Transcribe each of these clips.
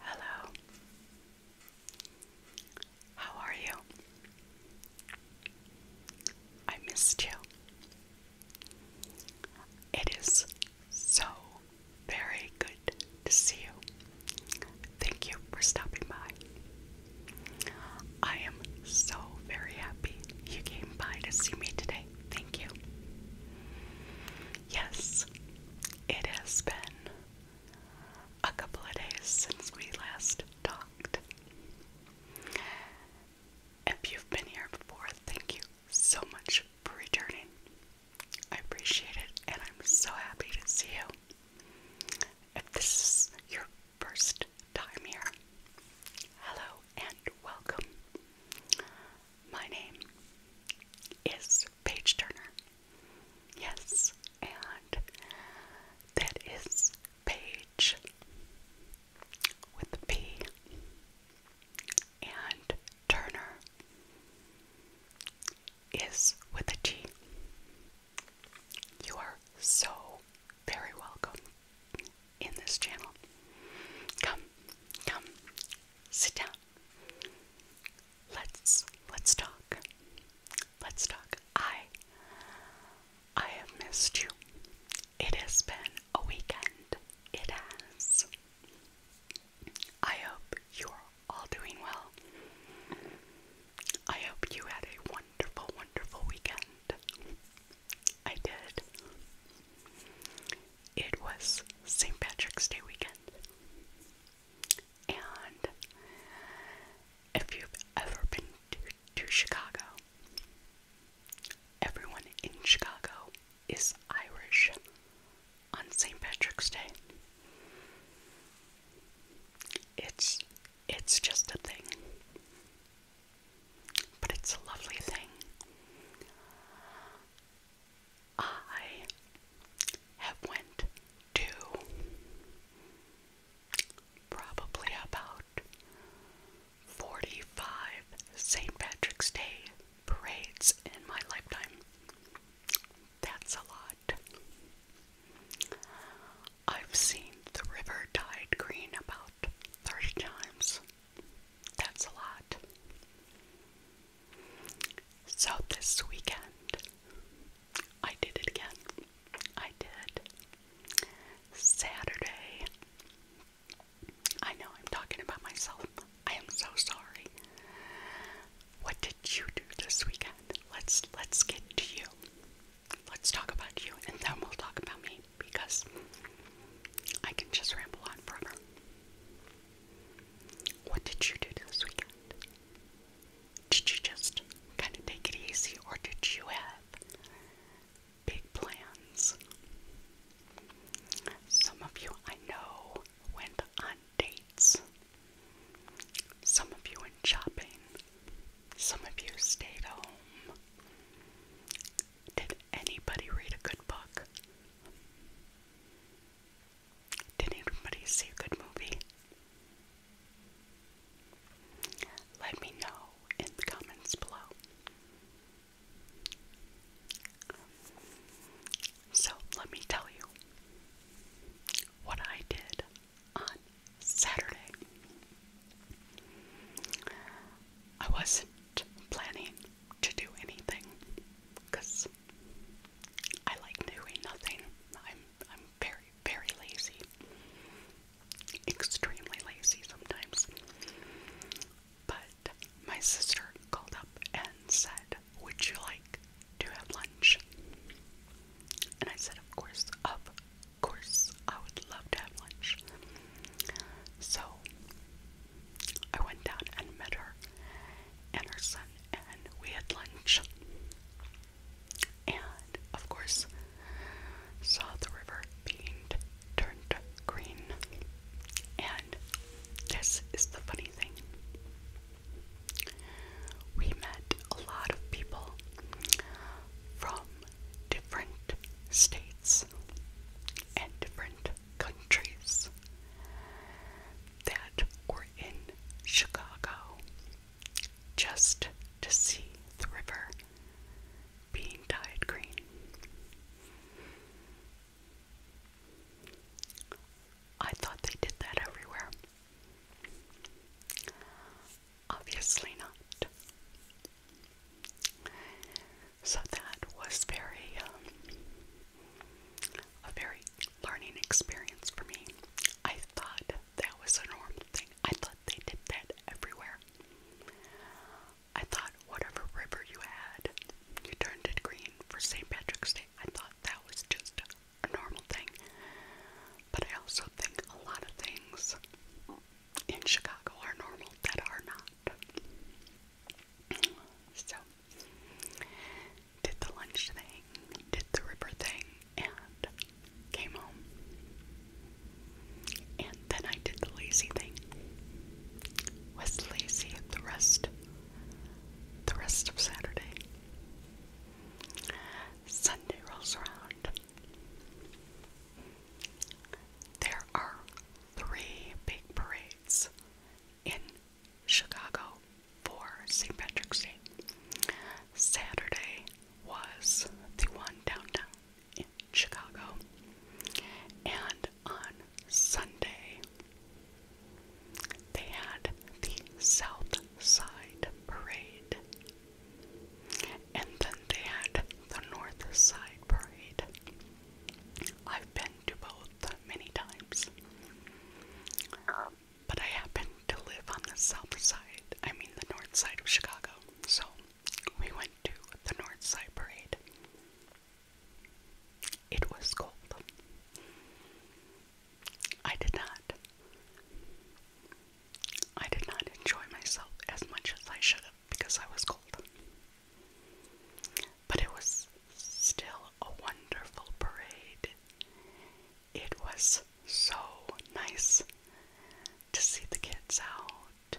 Hello. How are you? I missed you. It is so very good to see you. Thank you for stopping by. I am so very happy you came by to see me today. Thank you. Yes, it has been a couple of days since we last talked. If you've been here before, thank you so much for returning. I appreciate it and I'm so happy to see you. If this is your first time here, hello and welcome my name is Page Turner. Yes, and that is Page with the P and Turner is with a T. You are so very welcome in this channel. Come, come, sit down, Let's let's talk. Let's talk. I I have missed you. It has been a weekend. It has. I hope you're all doing well. I hope you had a wonderful, wonderful weekend. I did it was St. Patrick's Day weekend. And if you've ever been to, Chicago, everyone in Chicago is Irish on St. Patrick's Day. It's it's just a thing. But it's a lovely thing. I have went to probably about 45 St. Patrick's Day parades in my lifetime. That's a lot. I've seen the river dyed green about 30 times. That's a lot. So this weekend, I did it again. I did. Saturday. I know I'm talking about myself. I am so sorry. What did you do this weekend? Let's let's get to you. Let's talk about you and then we'll talk about me because I can just ramble on forever. What did you do this weekend? Did you just kind of take it easy, or did you have big plans? Some of you I know went on dates. Some of you went shopping. Some of you stayed home. Did anybody read a good book? Did anybody see a good movie? Let me know in the comments below. So, let me tell you what I did on Saturday. I wasn't planning to do anything because I like doing nothing. I'm I'm very very lazy, extremely lazy sometimes. But my sister called up and said, "Would you like to have lunch?" And I said, "Of course, of course, I would love to have lunch." So I went down and met her and her son, and we had lunch. And of course, saw the river being turned green. And this is the funny thing. We met a lot of people from different states and different countries that were in Chicago just to see the river being dyed green. I thought they did that everywhere. Obviously not. So that was very um, a very learning experience for me. I thought that was a normal thing. I thought they did that everywhere. I thought whatever river you had, you turned it green for St. Patrick's Day. I thought that was just a normal thing. But I also think a lot of things in Chicago are normal that are not. So, did the lunch thing, did the river thing, and came home. And then I did the lazy thing. Was lazy at the rest the rest of Saturday. Sunday rolls around. There are three big parades in Chicago for St. Patrick's Day. Saturday was the one downtown in Chicago, and on Sunday they had the South Side Parade, and then they had the North Side Parade. I've been to both many times. But I happen to live on the south side, I mean the north side of Chicago, so we went to the north side parade. It was cold. I did not. I did not enjoy myself as much as I should have because I was cold. But it was still a wonderful parade. It was so nice to see the kids out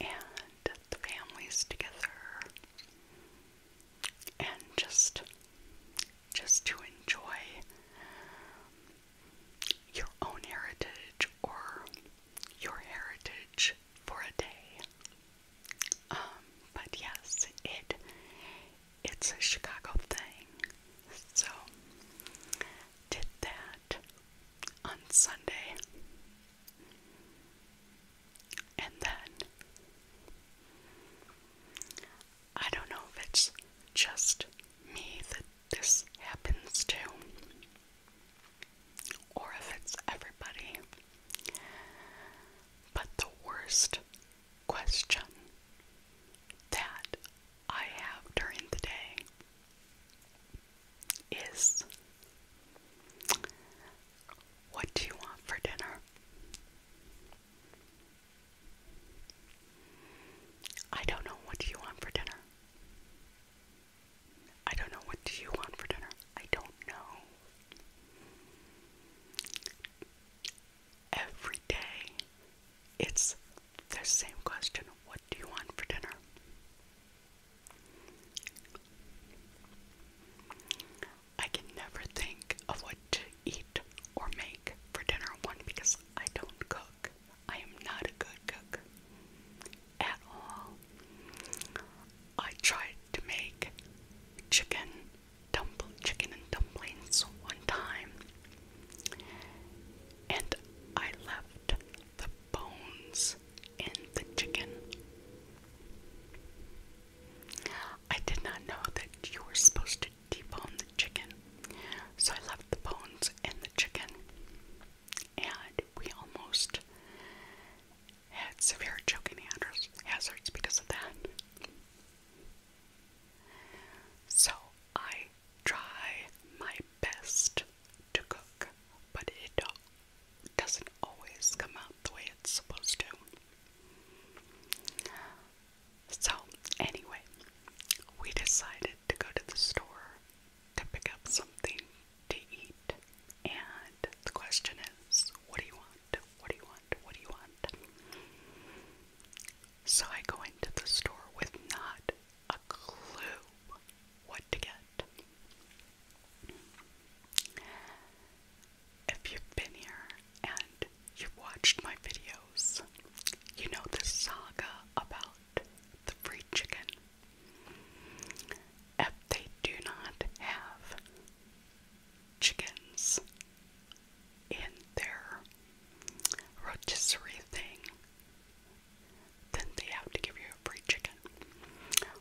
and the families together and just just to enjoy your own heritage or your heritage for a day. Um, but yes, it it's a Chicago thing. So did that on Sunday. And then I don't know if it's just me that this happens to or if it's everybody. But the worst question that I have during the day is what do you want for dinner? I don't know what do you want for dinner. I don't know what do you want for dinner. I don't know Every day, it's the same question What do you want for dinner? I can never think of what to eat or make for dinner, one, because I don't cook. I am not a good cook at all. I tried to make chicken dumpling, chicken and dumplings one time, and I left the bones in the chicken. I did not know that you were supposed to debone the chicken, so I left the bones in the chicken, and we almost had severe choking hazards because of that. So I try my best to cook, but it doesn't always come out the way it's supposed to. So, anyway, we decided to go to the store to pick up something to eat, and the question is, what do you want? What do you want? What do you want? So I go into the store with not a clue what to get. If you've been here and you've watched my videos, you know the saga about the free chicken. If they do not have chickens in their rotisserie thing, then they have to give you a free chicken.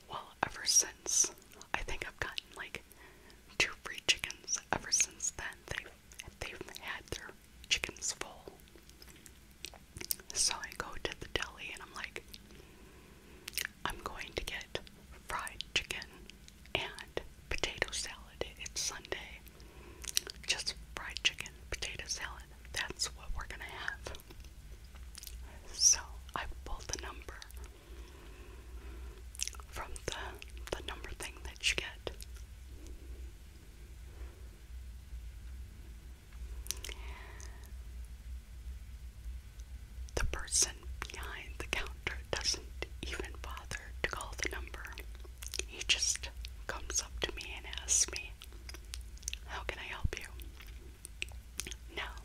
Well, ever since, I think I've gotten like two free chickens. Ever since then, they they've had their chickens full. So I go to the deli and I'm like, I'm going to get fried chicken and potato salad. It's Sunday. Just fried chicken, potato salad. That's what we're going to have. So I pulled the number from the, the number thing that you get. The person behind the counter doesn't even bother to call the number. He just comes up to me and asks me, How can I help you? Now,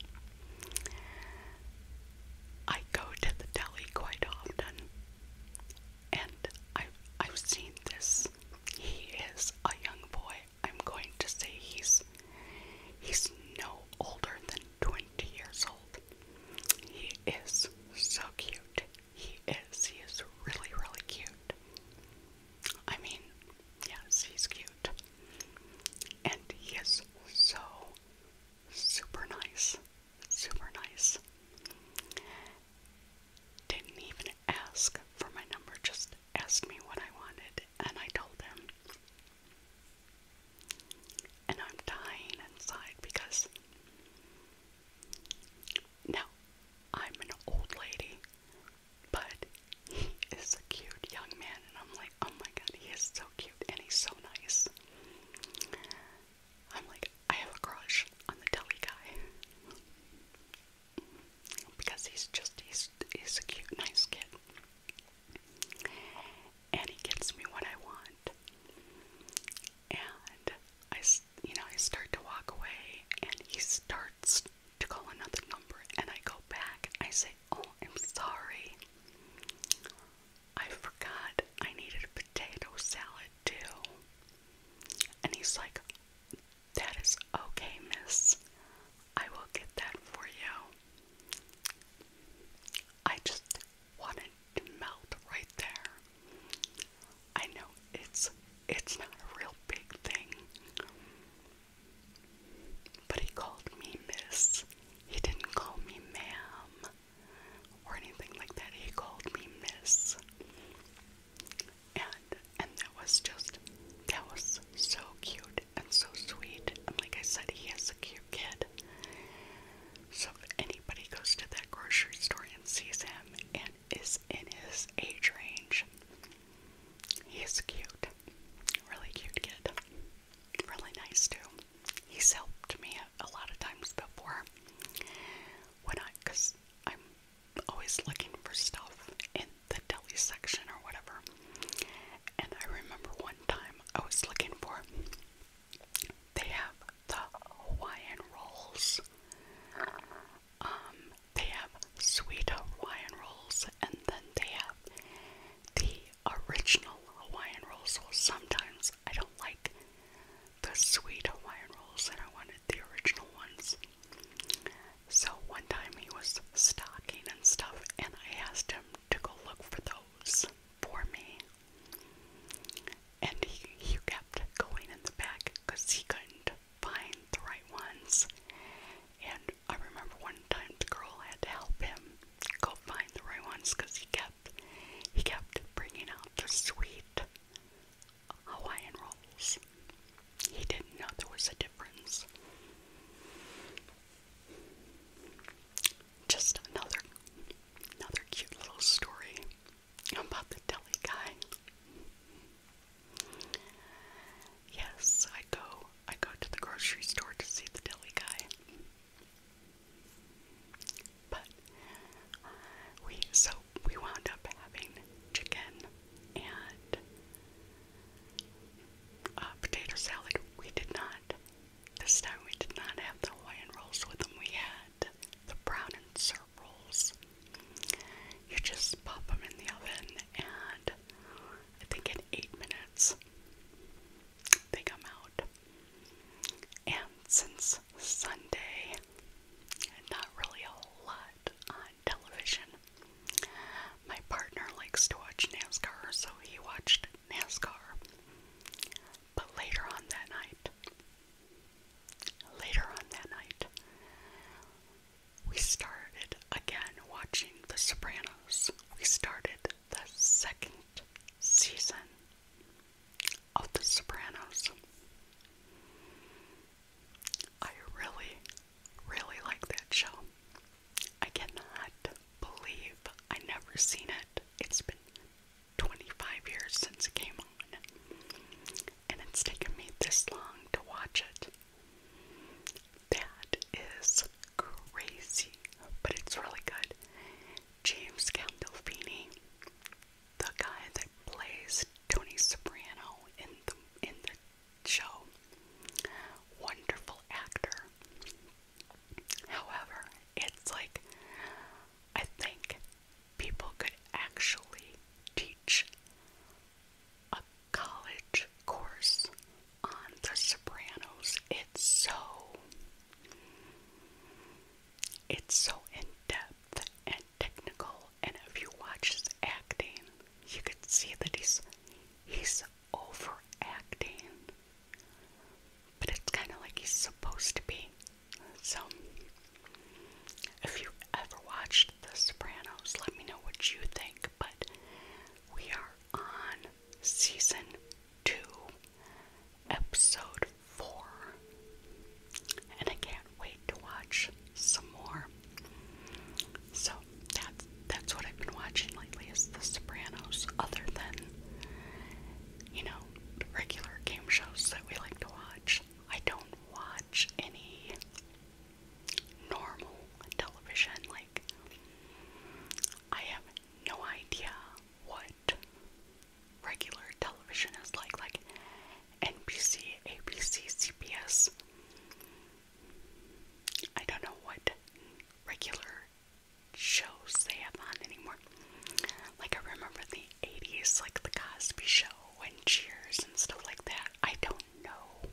I go to the deli quite often, and I've, I've seen this. He is a young boy. I'm going to say he's he's no older than 20 years old. He is so cute. He is. He is really, really cute. I mean, yes, he's cute. And he is so super nice. Super nice. Didn't even ask for my number, just asked me what I wanted, and I told him. And I'm dying inside because now I'm an old lady, but he is a cute young man, and I'm like, oh my god, he is so cute and he's so nice. I'm like, I have a crush on the deli guy because he's just he's he's a cute, nice kid and he gets me what I want. And I, you know, I start to walk away, and he starts to call another number, and I go back. I say, "Oh, I'm sorry. I forgot. I needed a potato salad too." And he's like, "That is okay, miss. I will get that for you." I just wanted to melt right there. I know it's it's not a real big thing. But he called me miss. He didn't call me ma'am or anything like that. He called me miss. And and that was just that was so cute and so sweet. And like I said, he has cute you kid. So if anybody goes to that grocery store and sees him and is in his age range, he is cute. Really cute kid. Really nice too. He's helped me a lot of times before when I, cause I'm always looking for stuff in the deli section or whatever. And I remember one time I was looking for they have the Hawaiian rolls. Um, they have sweet Hawaiian rolls, and then they have the original Hawaiian rolls. So sometimes I don't like the sweet Hawaiian rolls, and I wanted the original ones. So one time he was stocking and stuff, and I asked him to go look for those for me. And he, he kept going in the back because he couldn't find the right ones. And I remember one time the girl had to help him go find the right ones because he kept he kept bringing out the sweet Hawaiian rolls. He didn't know there was a difference. Just another another cute little story about the deli guy. Yes, I go I go to the grocery store to see the deli guy. But we so we wound up having chicken and uh, potato salad. We did not this time we did not have the Hawaiian rolls with them, we had the brown and syrup rolls. You just pop them in the oven, and I think in eight minutes they come out. And since Sunday, and not really a lot on television, my partner likes to watch NASCAR, so he watched NASCAR. But later on that night, later on that night, we started again watching The Sopranos. We started the second season of The Sopranos. I really, really like that show. I cannot believe I never seen it. It's been 25 years since it came on, and it's taken me this long to watch it. That is crazy, but it's really good. James Gandolfini, the guy that plays Tony Soprano in the in the show, wonderful actor. However, it's like I think people could actually teach a college course on The Sopranos. It's so it's so in depth and technical, and if you watch his acting, you can see that he's he's overacting but it's kind of like he's supposed to be. So, if you ever watched The Sopranos, let me know what you think. But we are on season two, episode four, and I can't wait to watch some more. So that's that's what I've been watching lately is The Sopranos. Other than you know, regular game shows that we like to watch. I don't watch any normal television. Like, I have no idea what regular television is like, like NBC, ABC, CBS. I don't know what regular shows they have on anymore. Like I remember the 80s, like the Cosby Show and Cheers and stuff like that. I don't know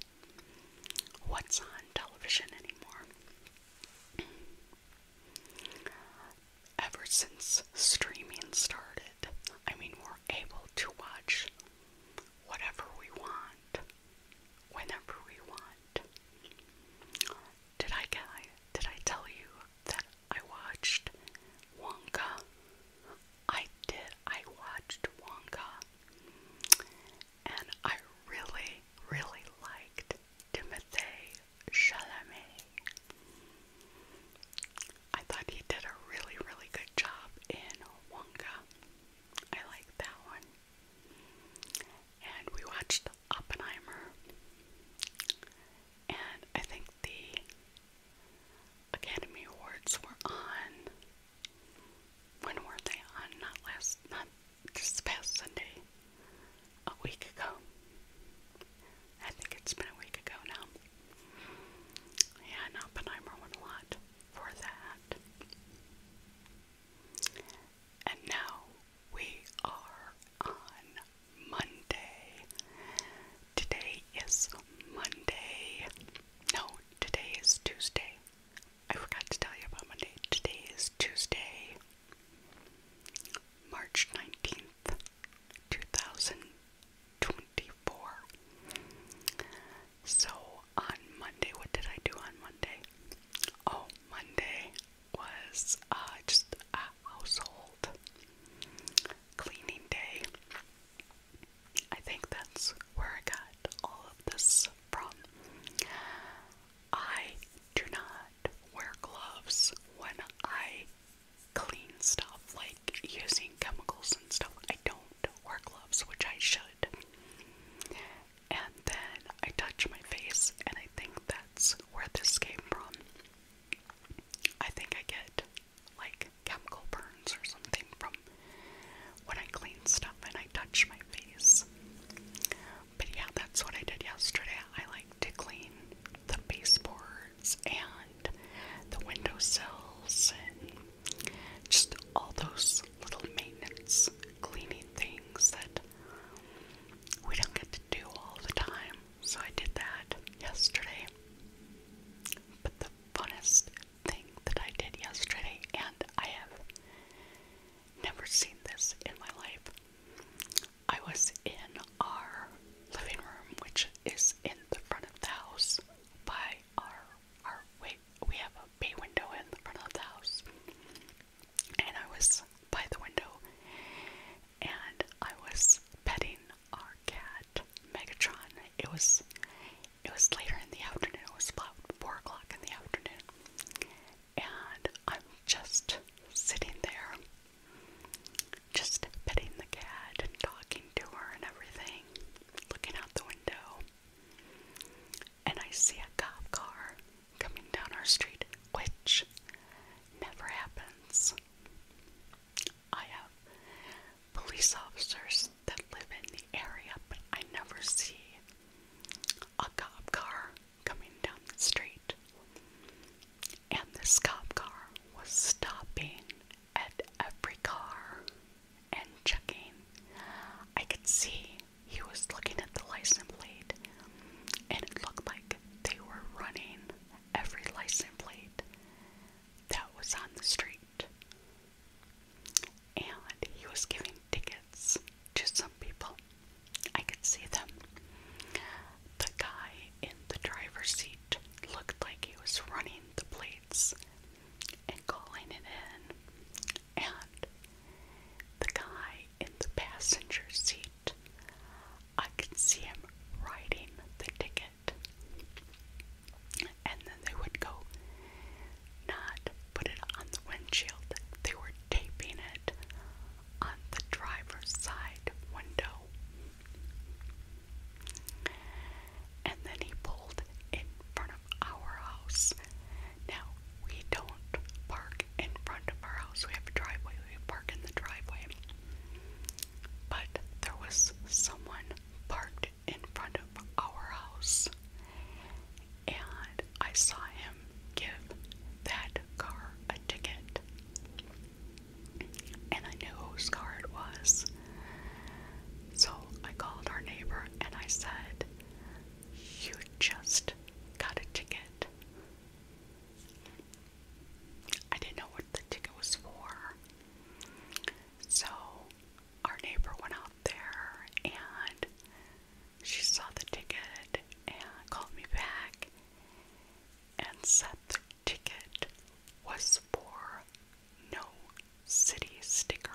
what's on television anymore. Ever since streaming started, I mean, we're able to watch whatever we want, whenever we want. Did I did I tell you that I watched Wonka? I did. I watched Wonka, and I really, really liked Timothy Chalamet. I thought he did a really, really good job in Wonka. I like that one and we watched Oppenheimer. And I think the Academy Awards were on. When were they on? Not last, not this past Sunday, a week ago. I think it's been a week ago now. Yeah, Oppenheimer won a lot for that. And now we are on Monday. Today is Monday. No, today is Tuesday. I forgot to tell you about Monday. Today is Tuesday, March 19th, 2024. So on Monday, what did I do on Monday? Oh, Monday, was uh, just a household cleaning day. I think that's where I got all of this from. I do not wear gloves when I clean stuff, like using chemicals and stuff. I don't wear gloves, which I should. And then I touch my face, and I think that's where this came from. I think I get like chemical burns or something from when I clean stuff and I touch my face. But yeah, that's what I did yesterday. I like to clean the baseboards and the window sills and just all those little maintenance cleaning things that we don't get to do all the time. So I did that yesterday. But the funnest thing that I did yesterday, and I have never seen this in my life, I was in our living room, which is in the front of the house by our our wait we have a bay window in the front of the house. And I was by the window and I was petting our cat Megatron. It was it was later in the afternoon. It was about four o'clock in the afternoon, and I'm just sitting there, just petting the cat and talking to her and everything, looking out the window, and I see a cop car coming down our street, which never happens. I have police officers that live in the area, but I never see a cop car coming down the street. And this cop car was stopping at every car and checking. I could see he was looking at the license plate, and it looked like like they were running every license plate that was on the street. And he was giving tickets to some people. I could see them. The guy in the driver's seat looked like he was running the plates and calling it in. And the guy in the passenger seat I can see him writing the ticket. And then they would go not put it on the windshield, they were taping it on the driver's side window. And then he pulled in front of our house. Now, we don't park park in front of our house. We have a driveway. We park in the driveway. But there was someone parked in front of our house. And I saw him give that car a ticket. And I knew whose car it was. So I called our neighbor and I said, You just got a ticket. I didn't know what the ticket was for. So our neighbor went out there and she saw the ticket and called me back and said the ticket was for no city sticker.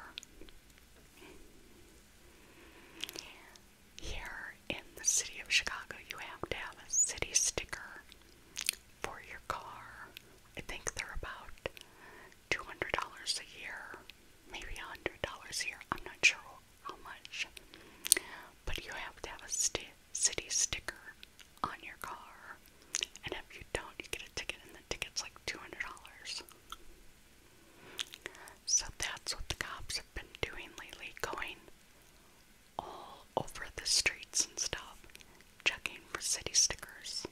Here in the city of Chicago, you have to have a city sticker for your car. I think they're about $200 a year, maybe $100 a year. I'm not sure how much. But you have to have a city sticker on your car. And if you don't, you get a ticket, and the ticket's like $200. So that's what the cops have been doing lately, going all over the streets and stuff, checking for city stickers.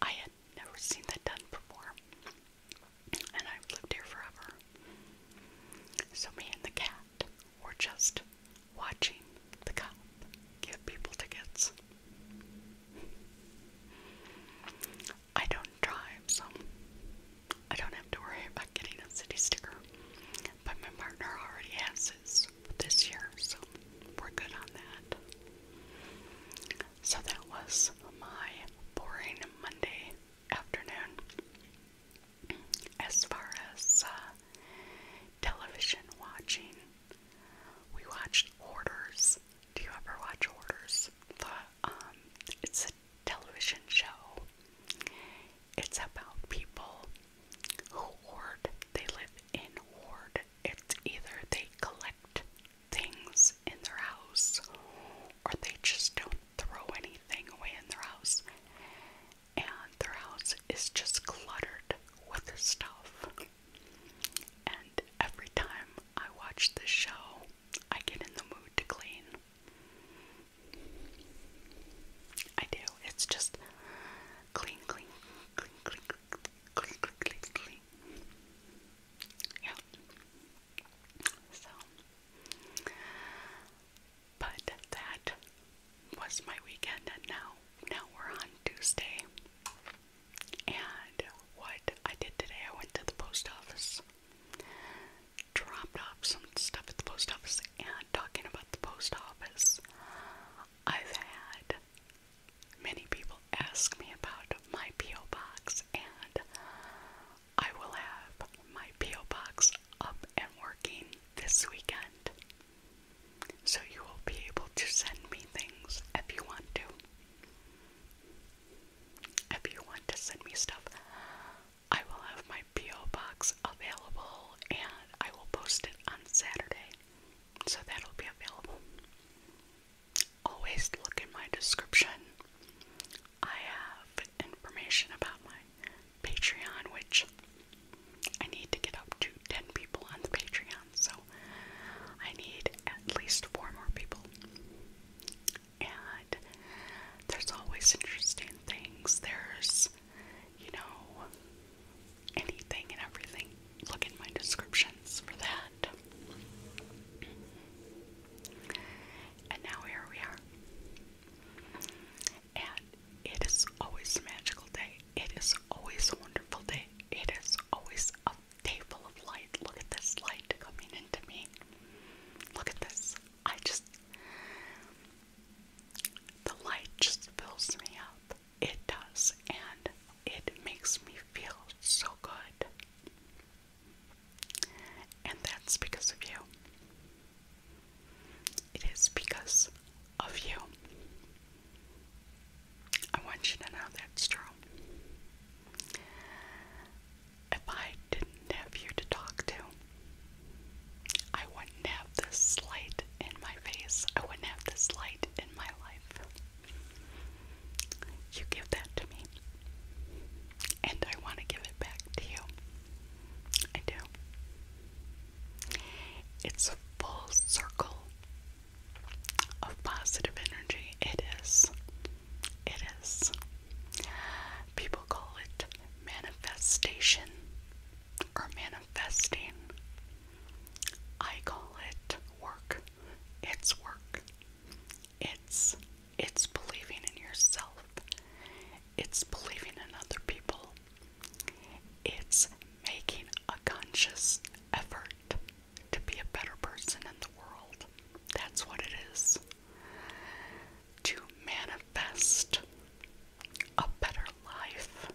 I had never seen that done before, and I've lived here forever. So, me and the cat were just watching the cop give people tickets. I don't drive, so I don't have to worry about getting a city sticker. But my partner already has his this year, so we're good on that. So that was my boring Monday afternoon. As far as uh, television watching, we watched Orders. Do you ever watch Orders? The um, it's a television show. It's about people who hoard. They live in hoard. It's either they collect things in their house or they just don't throw anything away in their house. And their house is just cluttered with stuff. And every time I watch this show, I get in the mood to clean. I do. It's just clean, clean, clean, clean, clean, clean, clean, clean. Yeah. So, but that was my weekend, and now, now we're on Tuesday. And what I did today, I went to the post office dropped off some stuff at the post office. And talking about the post office, I've had many people ask me about my P.O. box, and I will have my P.O. box up and working this weekend. So you will be able to send me things if you want to. If you want to send me stuff, I will have my P.O. box available and I will post it on Saturday. So that'll be available. Always look in my description. I have information about my Patreon, which I need to get up to 10 people on the Patreon, so I need at least four more people. And there's always interesting things. There's, you know, anything and everything. Look at my descriptions for that. And now here we are. And it is always a magical day. It is always a wonderful day. It is always a day full of light. Look at this light coming into me. Look at this. I just. The light just fills me up. It does, and it makes me feel so good. And that's because of you. It is because of you. I want you to know that's true. If I didn't have you to talk to, I wouldn't have this light in my face. I wouldn't have this light in my life. You give that to me. And I want to give it back to you. I do. It's a full circle of positive energy. It is. It is. People call it manifestation or manifesting. I call it work. It's work. It's it's believing in yourself. It's believing in other people. It's making a conscious effort to be a better person in the world. That's what it is. To manifest a better life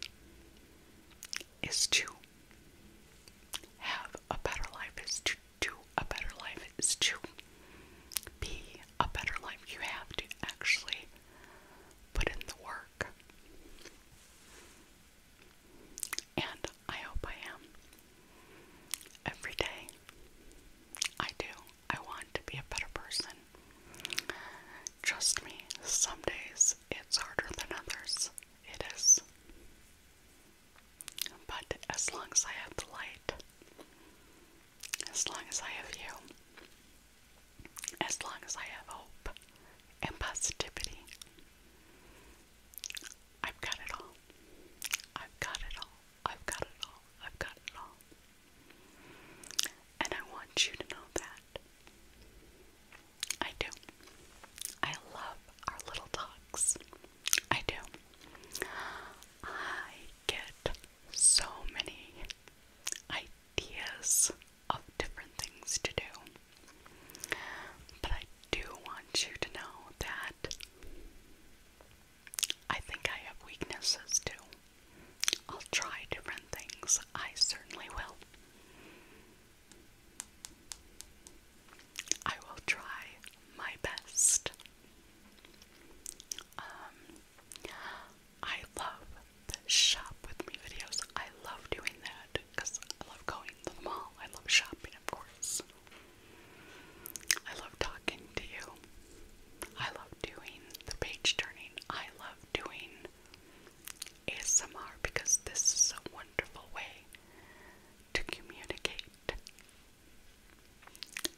is to have a better life, is to do a better life, is to be a better life. You have to actually put in the work. And I hope I am. Every day, I do. I want to be a better person. Trust me, some days it's harder than others. It is. But as long as I have the light, as long as I have you, as long as I have hope and positivity, I've got it all. I've got it all. I've got it all. I've got it all. And I want you to know that. I do. I love our little talks. I do. I get so many ideas of different things to do. But I do want you to know that I think I have weaknesses too. I'll try different things. I certainly will. I will try my best. Um, I love the shop with me videos. I love doing that because I love going to the mall. I love shopping, of course. I love talking to you. I love doing the page turning. I love doing ASMR because this is a wonderful way to communicate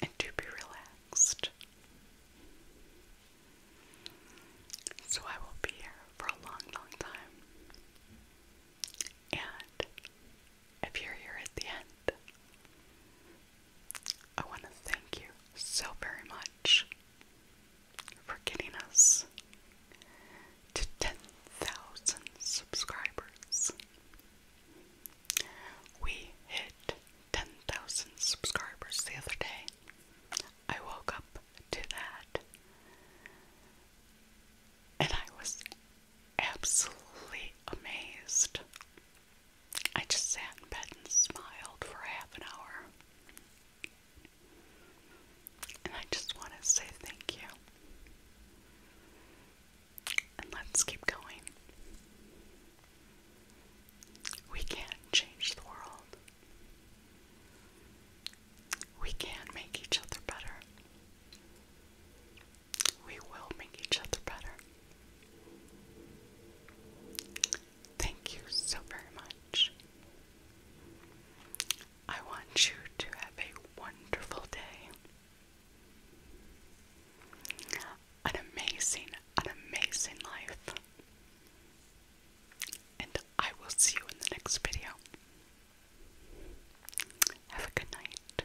and to be relaxed. So I will be here for a long, long time. And if you're here at the end, I want to thank you so very much for getting us to 10,000 subscribers. We hit 10,000 subscribers the other day. I woke up to that and I was absolutely amazed. I just sat in bed and smiled for half an hour. And I just want to say thank you. And let's keep going. We can change the world. We can make each other better. We will make each other better. Thank you so very much. I want you to have a wonderful day, an amazing, an amazing life, and I will see you in the next video. Have a good night.